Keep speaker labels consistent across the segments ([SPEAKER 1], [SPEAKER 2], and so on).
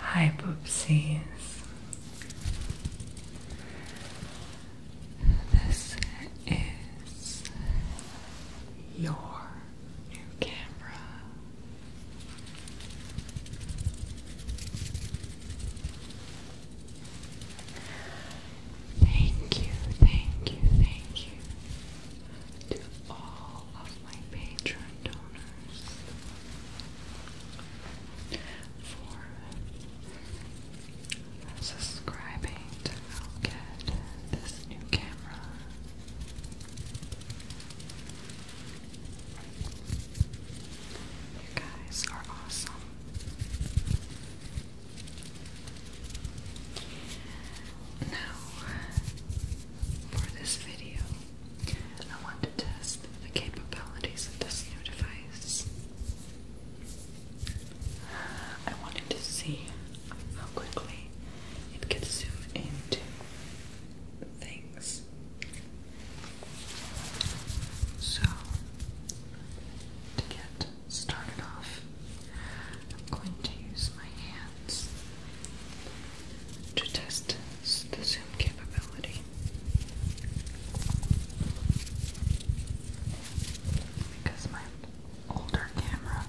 [SPEAKER 1] Hi, Poopsies. This is your new camera. Thank you, thank you, thank you to all of my patron donors for subscribing to get this new camera. You guys are awesome. Now, for this video, I want to test the capabilities of this new device. I wanted to see how quickly it could zoom into things. So, to get started off, I'm going to use my hands to test the zoom capability. Because my older camera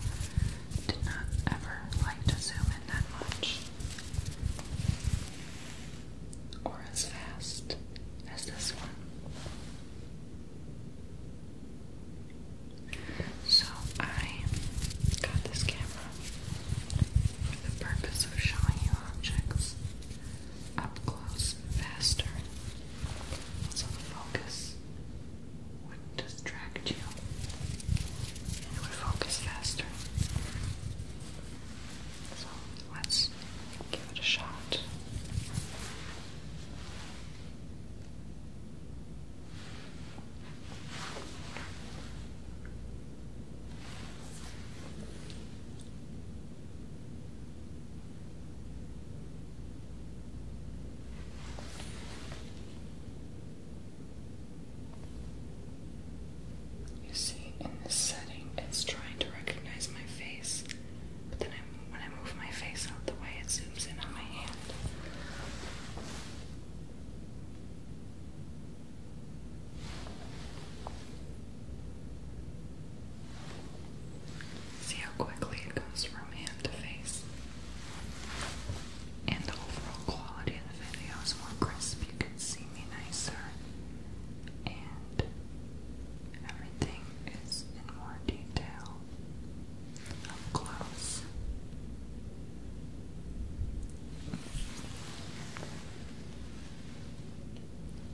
[SPEAKER 1] did not ever like to zoom in that much or as fast as this one. So I got this camera for the purpose of showing you objects up close faster. So focus would distract you. It would focus faster. So let's give it a shot. You see, in this setting, it's trying to recognize my face, but then when I move my face out the way, it zooms in on my hand. See how quickly it goes from hand to face. And the overall quality of the video is more crisp. You can see me nicer. And everything is in more detail. Up close.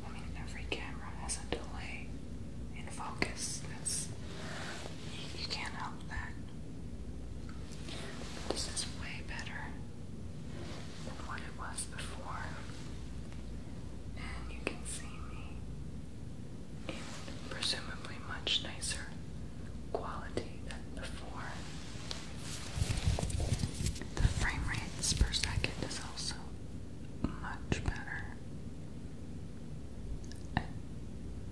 [SPEAKER 1] I mean, every camera has a delay in focus. That's you, can't help that. this is way better than what it was before, and you can see me in presumably much nicer quality than before. The frame rates per second is also much better. I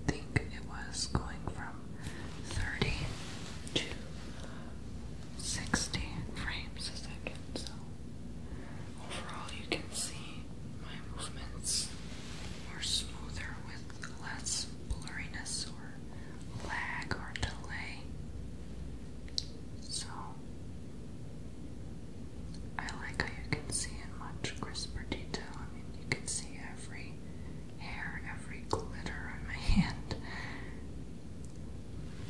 [SPEAKER 1] think it was going from 30 to 60 frames a second, so overall you can see my movements are smoother with less blurriness or lag or delay. So I like how you can see in much crisper detail. I mean, you can see every hair, every glitter on my hand,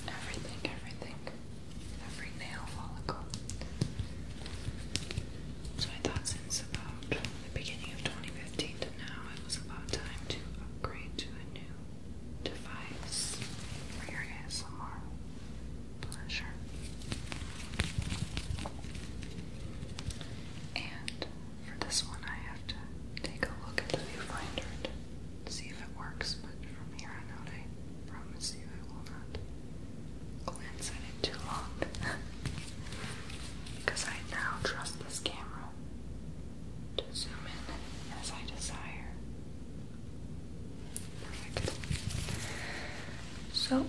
[SPEAKER 1] everything, everything, every nail follicle. So I thought since about the beginning of 2015 to now, it was about time to upgrade to a new device for your ASMR pleasure. And for this one, I have to take a look at the viewfinder see if it works, but from here on out, I promise you I will not glance at it too long. Because I now trust this camera to zoom in as I desire so,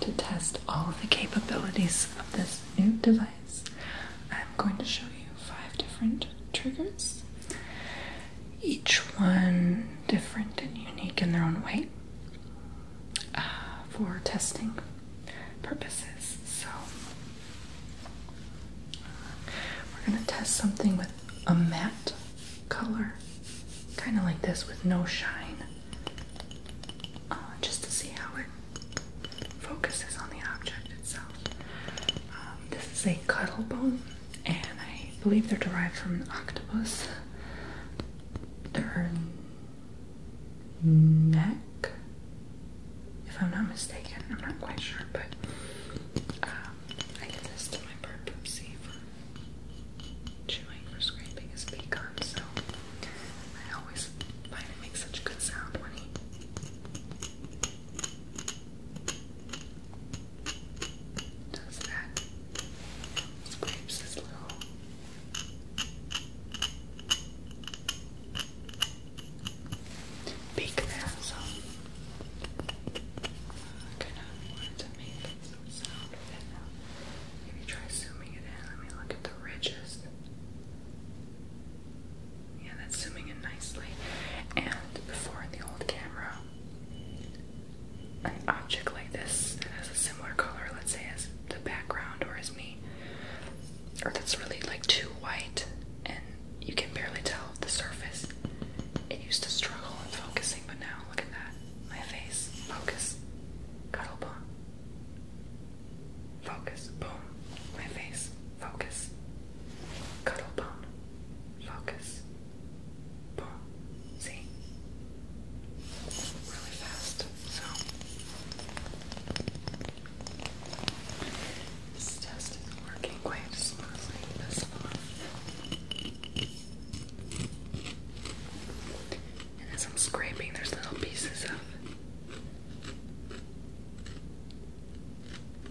[SPEAKER 1] to test all the capabilities of this new device, I'm going to show you five different triggers. Each one different and unique in their own way uh, for testing purposes. So, uh, we're going to test something with a matte color, kind of like this with no shine, uh, just to see how it focuses on the object itself. Um, this is a cuttlebone, and I believe they're derived from an octopus. Their neck, if I'm not mistaken, I'm not quite sure, but uh, I did this to my bird Poopsie for chewing or scraping his beak up, so I always find it makes such a good sound when he does that. Scrapes his little beak there, so kind of wanted to make some sound Maybe try zooming it in. Let me look at the ridges. Yeah, that's zooming in nicely. And before the old camera, an object like this that has a similar color, let's say as the background or as me, or that's really like too white and you can barely tell the surface. It used to struggle in focusing, but now look at that. My face. Focus. Cuddle Focus. Boom. My face. Focus. Cuddle Focus. Boom. See? Really fast. So this test is as I'm scraping, there's little pieces of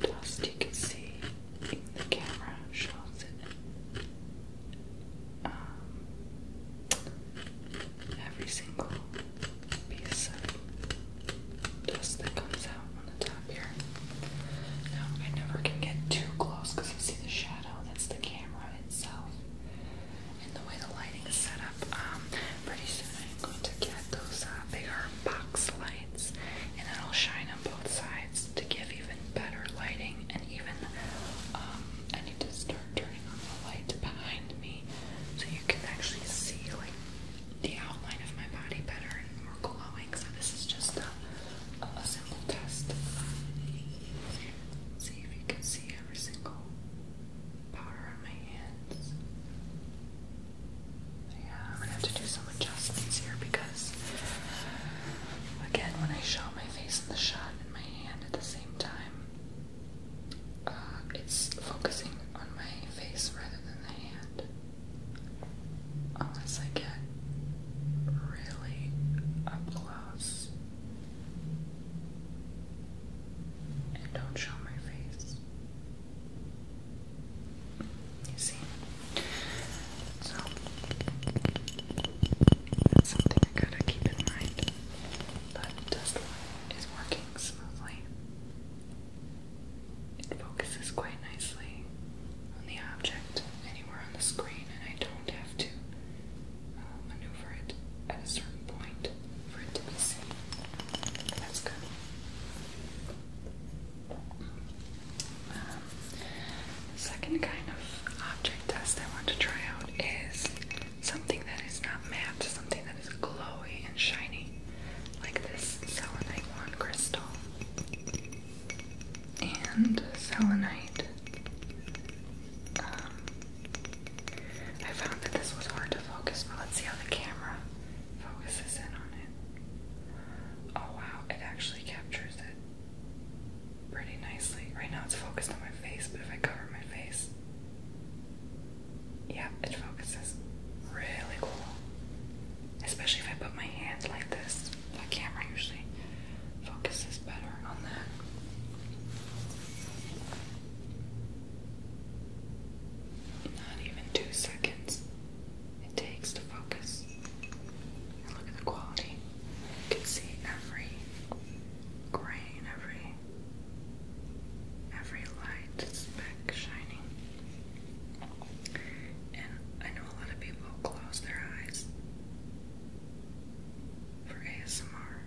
[SPEAKER 1] dust you can see. The camera shows um, every single piece of dust that comes out on the top here. I never can get too close because I see the shadow. That's the camera itself. And the way the lighting is set up, um, pretty soon I'm going to get those uh, bigger box lights, and it'll shine on both sides to give even better lighting. And even um, I need to start turning on the light behind me so you can actually see like the outline of my body better and more glowing. So this is just the a simple test. See if you can see every single powder on my hands. Yeah, I'm gonna have to do some adjustments here because, again, when I show my face in the shot and my hand at the same time, uh, it's focusing on my face rather than the hand. Unless I get really up close and don't show my face. You see? So, that's something I gotta keep in mind. But this one is working smoothly. It focuses quite nicely on the object, anywhere on the screen and I don't have to uh, maneuver it at a certain point for it to be seen. That's good. Um, the second kind of object test I want to try out is something that is not matte, something that is glowy and shiny, like this selenite one crystal and selenite. Um, I found that this was hard to focus, but let's see how the camera focuses in on it. Oh wow, it actually captures it pretty nicely. Right now it's focused on my face, but if I cover my face, yeah, it focuses really cool. Especially if I put my hand like this. That camera usually focuses better on that. Not even two seconds it takes to focus. look at the quality. You can see every grain, every every light speck shining. And I know a lot of people close their eyes for ASMR,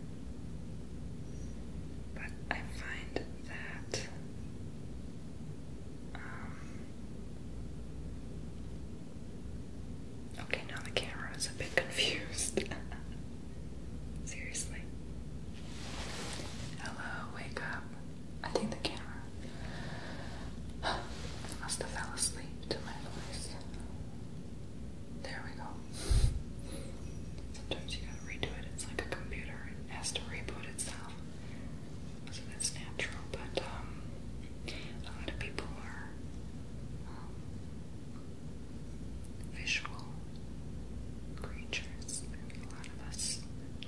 [SPEAKER 1] but I find that um, Okay, now the camera is a bit confused. Seriously. Hello, wake up. I think the camera must have fell asleep to my voice. There we go. Sometimes you gotta redo it. It's like a computer. has to reboot itself. So that's natural, but um, a lot of people are um, visual creatures. A lot of us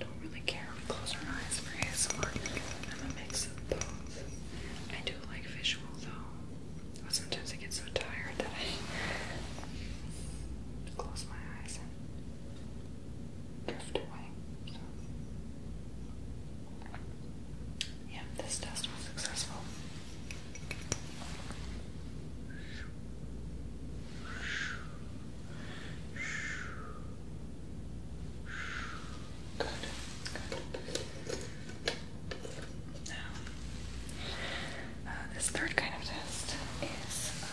[SPEAKER 1] don't really care close our eyes for ASMR because I'm a mix of both. I do like visual though. But sometimes I get so tired that I close my eyes and drift away. So. this test was successful. Uh, this third kind of test is um,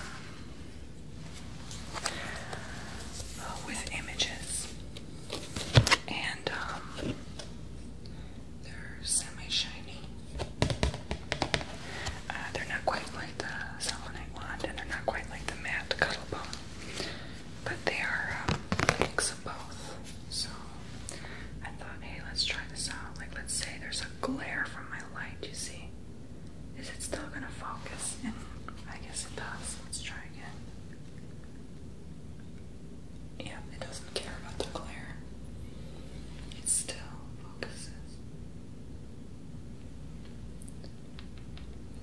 [SPEAKER 1] uh, with images, and um, they're semi-shiny. Uh, they're not quite like the selenite wand, and they're not quite like the matte cuddle bone but they are a um, mix of both. So I thought, hey, let's try this out. Like, let's say there's a glare from my light, you see. Is it still gonna focus? And I guess it does. Let's try again. Yeah, it doesn't care about the glare. It still focuses.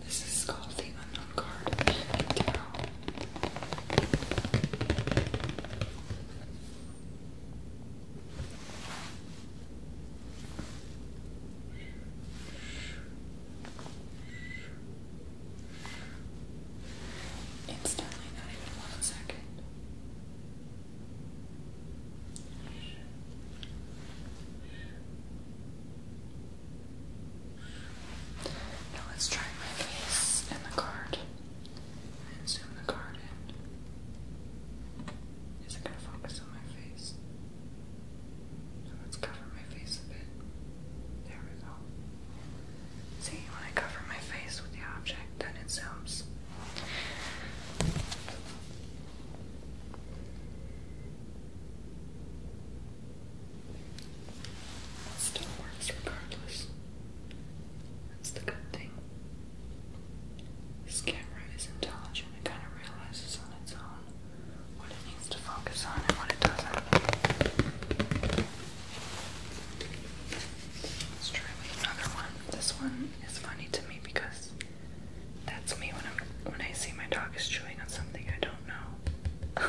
[SPEAKER 1] This is called the Unknown Card Instantly, not even one second. Now let's try my face and the card. And zoom the card in. Is it going to focus on my face? So let's cover my face a bit. There we go. See, when I cover my face with the object, then it zooms still works regardless. That's the good thing. This camera is intelligent, it kind of realizes on its own what it needs to focus on and what it doesn't. Let's try another one. This one is funny to me because that's me when I'm when I see my dog is chewing on something I don't don't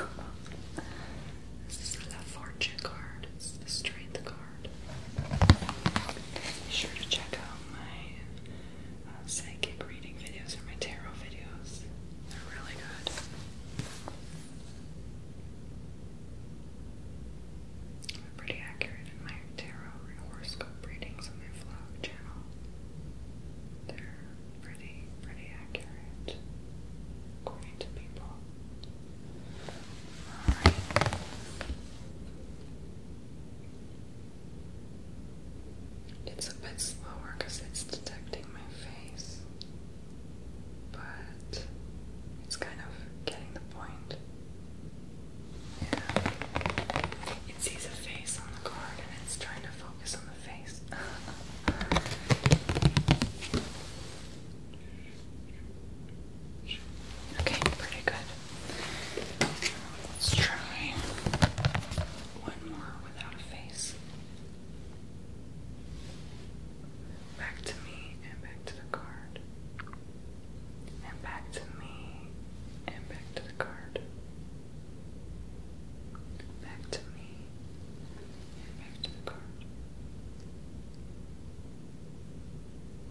[SPEAKER 1] this is fortune card. It's the strength card. Be sure to check out my uh, psychic reading videos or my tarot videos. They're really good. I'm pretty accurate in my tarot horoscope readings on my vlog channel. they pretty, pretty accurate, according to people. It's a bit slower because it's detecting my face, but it's kind of getting the point. Yeah. It sees a face on the card and it's trying to focus on the face. okay, pretty good. Let's try one more without a face. Back to me and back to the card. And back to me and back to the card. Back to me back to the card.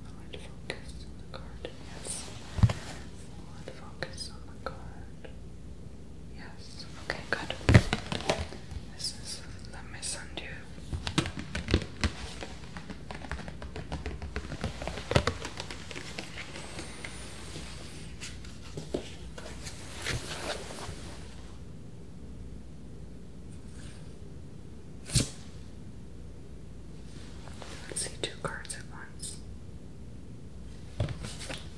[SPEAKER 1] Forward focus on the card, yes. Forward focus on the card. Yes. Okay, good. This is let me send you. Let's see two cards at once.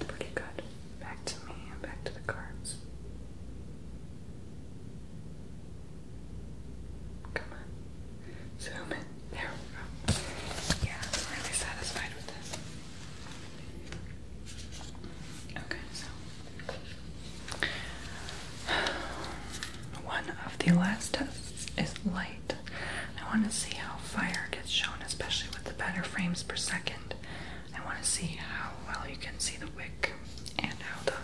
[SPEAKER 1] Pretty good. Back to me back to the cards. Come on. Zoom in. There we go. Yeah, I'm really satisfied with this. Okay, so one of the last tests is light. I want to see how fire gets shown, especially with the better frames per second. I want to see how well you can see the wick and how the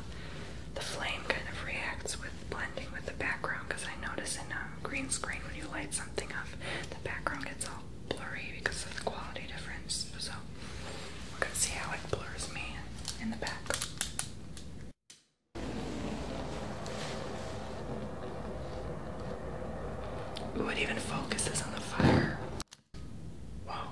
[SPEAKER 1] the flame kind of reacts with blending with the background. Because I notice in a green screen when you light something up, the background gets all blurry because of the quality difference. So we're gonna see how it blurs me in the back. Ooh, it even focuses on the fire. Wow.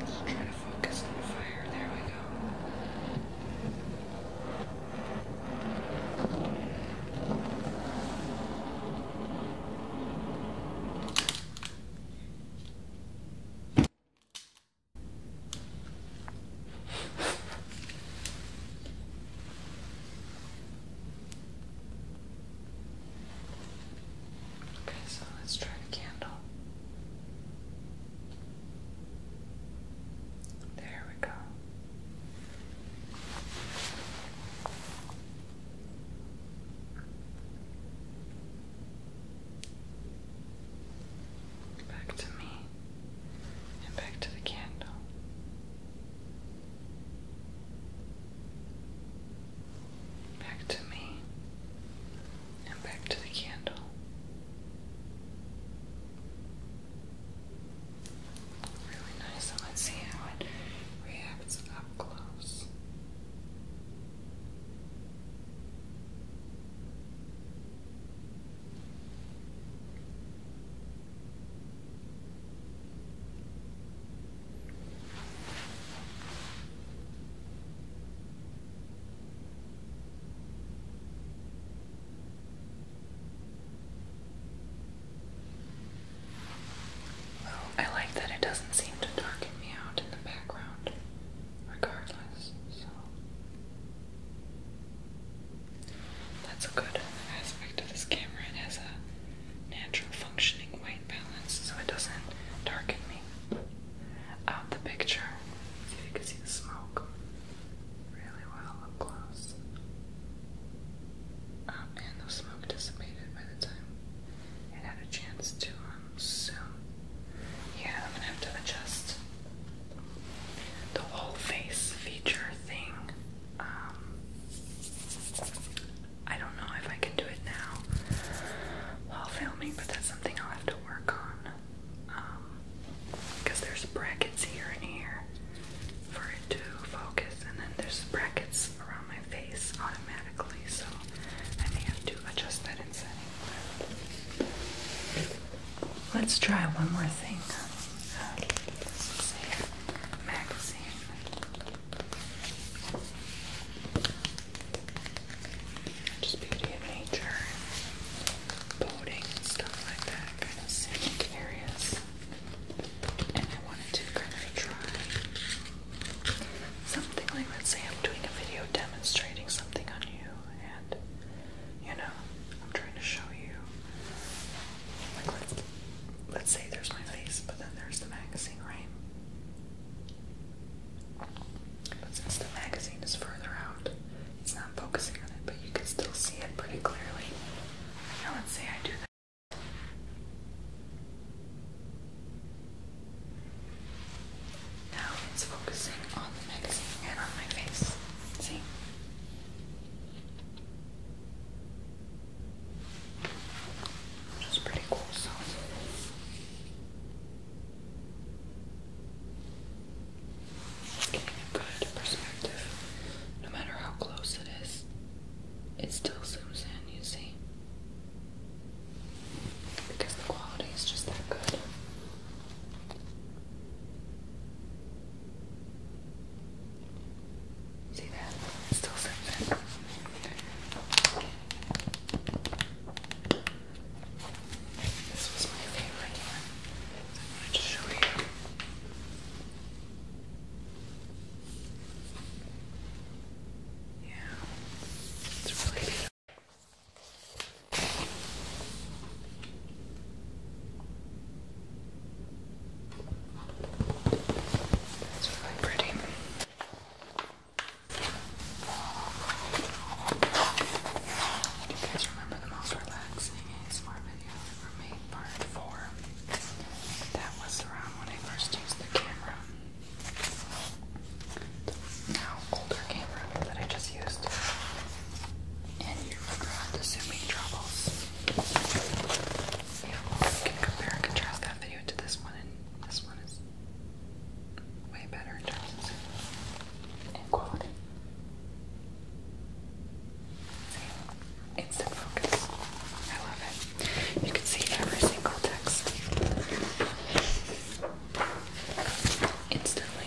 [SPEAKER 1] Just try to focus on the fire. There we go. Okay, so let's try the candle. There we go. Back to me and back to the candle back to me, and back to the candle. Really nice, let's see how it reacts up close. Well, I like that it doesn't seem to darken me out in the background, regardless, so that's a good aspect of this camera. It has a natural functioning way so it doesn't darken me out uh, the picture. See if you can see the smoke really well close. Oh the smoke dissipated by the time it had a chance to um, zoom. Yeah, I'm gonna have to adjust the whole face feature thing. Um, I don't know if I can do it now while filming, but that's something I'll have to work on. because um, there's brackets here and here for it to focus, and then there's brackets around my face automatically, so I may have to adjust that in setting. Let's try one more thing. Uh, Magazine. Just beauty of nature, boating, stuff like that, kind of scenic areas. And I wanted to kind of try something like, let's say I'm doing a video demonstrating something on you, and you know, I'm trying to show you, like, let's, let's say there's my face, but then there's the magazine, right? But since the magazine is further out, it's not focusing on it, but you can still see it pretty clearly. Now let's say I do that. Now it's focusing on the magazine and on my face. See? Which pretty cool, so Getting a good perspective, no matter how close it is, it still zooms in, you see. Because the quality is just that good. See that? still zooms this was my favorite one. I wanted show you. Yeah, it's really beautiful. That's really pretty. Do you guys remember the most relaxing ASMR video I ever made? Part 4. That was around when I first used the camera. Now, older camera that I just used. And you remember the zooming troubles. You can compare and contrast that video to this one, and this one is way better in terms of quality. Instant focus. I love it. You can see every single text instantly.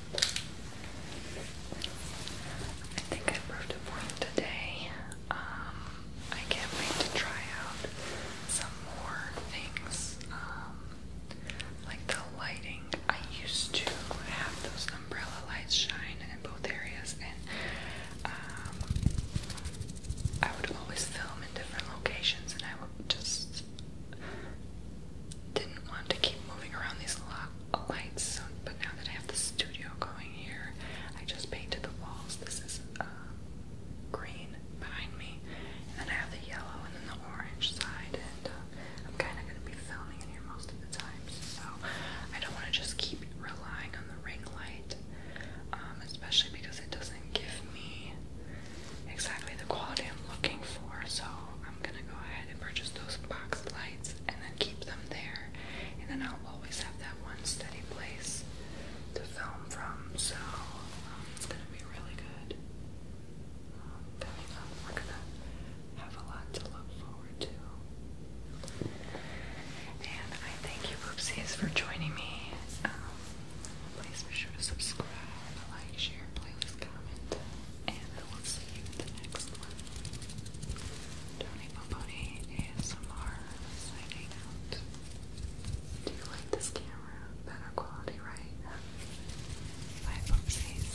[SPEAKER 1] I think I proved a point today. Um, I can't wait to try out some more things, um, like the lighting. I used to have those umbrella lights shine in both areas, and um, I would always film in different locations, and I would just didn't want to keep moving around these lights. but now that I have the studio going here, I just painted the walls. This is uh, green behind me, and then I have the yellow and then the orange side. And uh, I'm kind of going to be filming in here most of the time, so I don't want to just keep relying on the ring light, um, especially because it doesn't give me exactly the quality I'm looking for. So I'm gonna go ahead and purchase those box lights and then keep them there. And then I'll always have that one steady place to film from. So um, it's gonna be really good. Um, coming up, we're gonna have a lot to look forward to. And I thank you, Oopsies, for joining me. Um, please be sure to subscribe, like, share, playlist, comment and I will see you in the next one. Tony Poponi ASMR signing out. Do you like this camera? Better quality, right? Bye, folksies.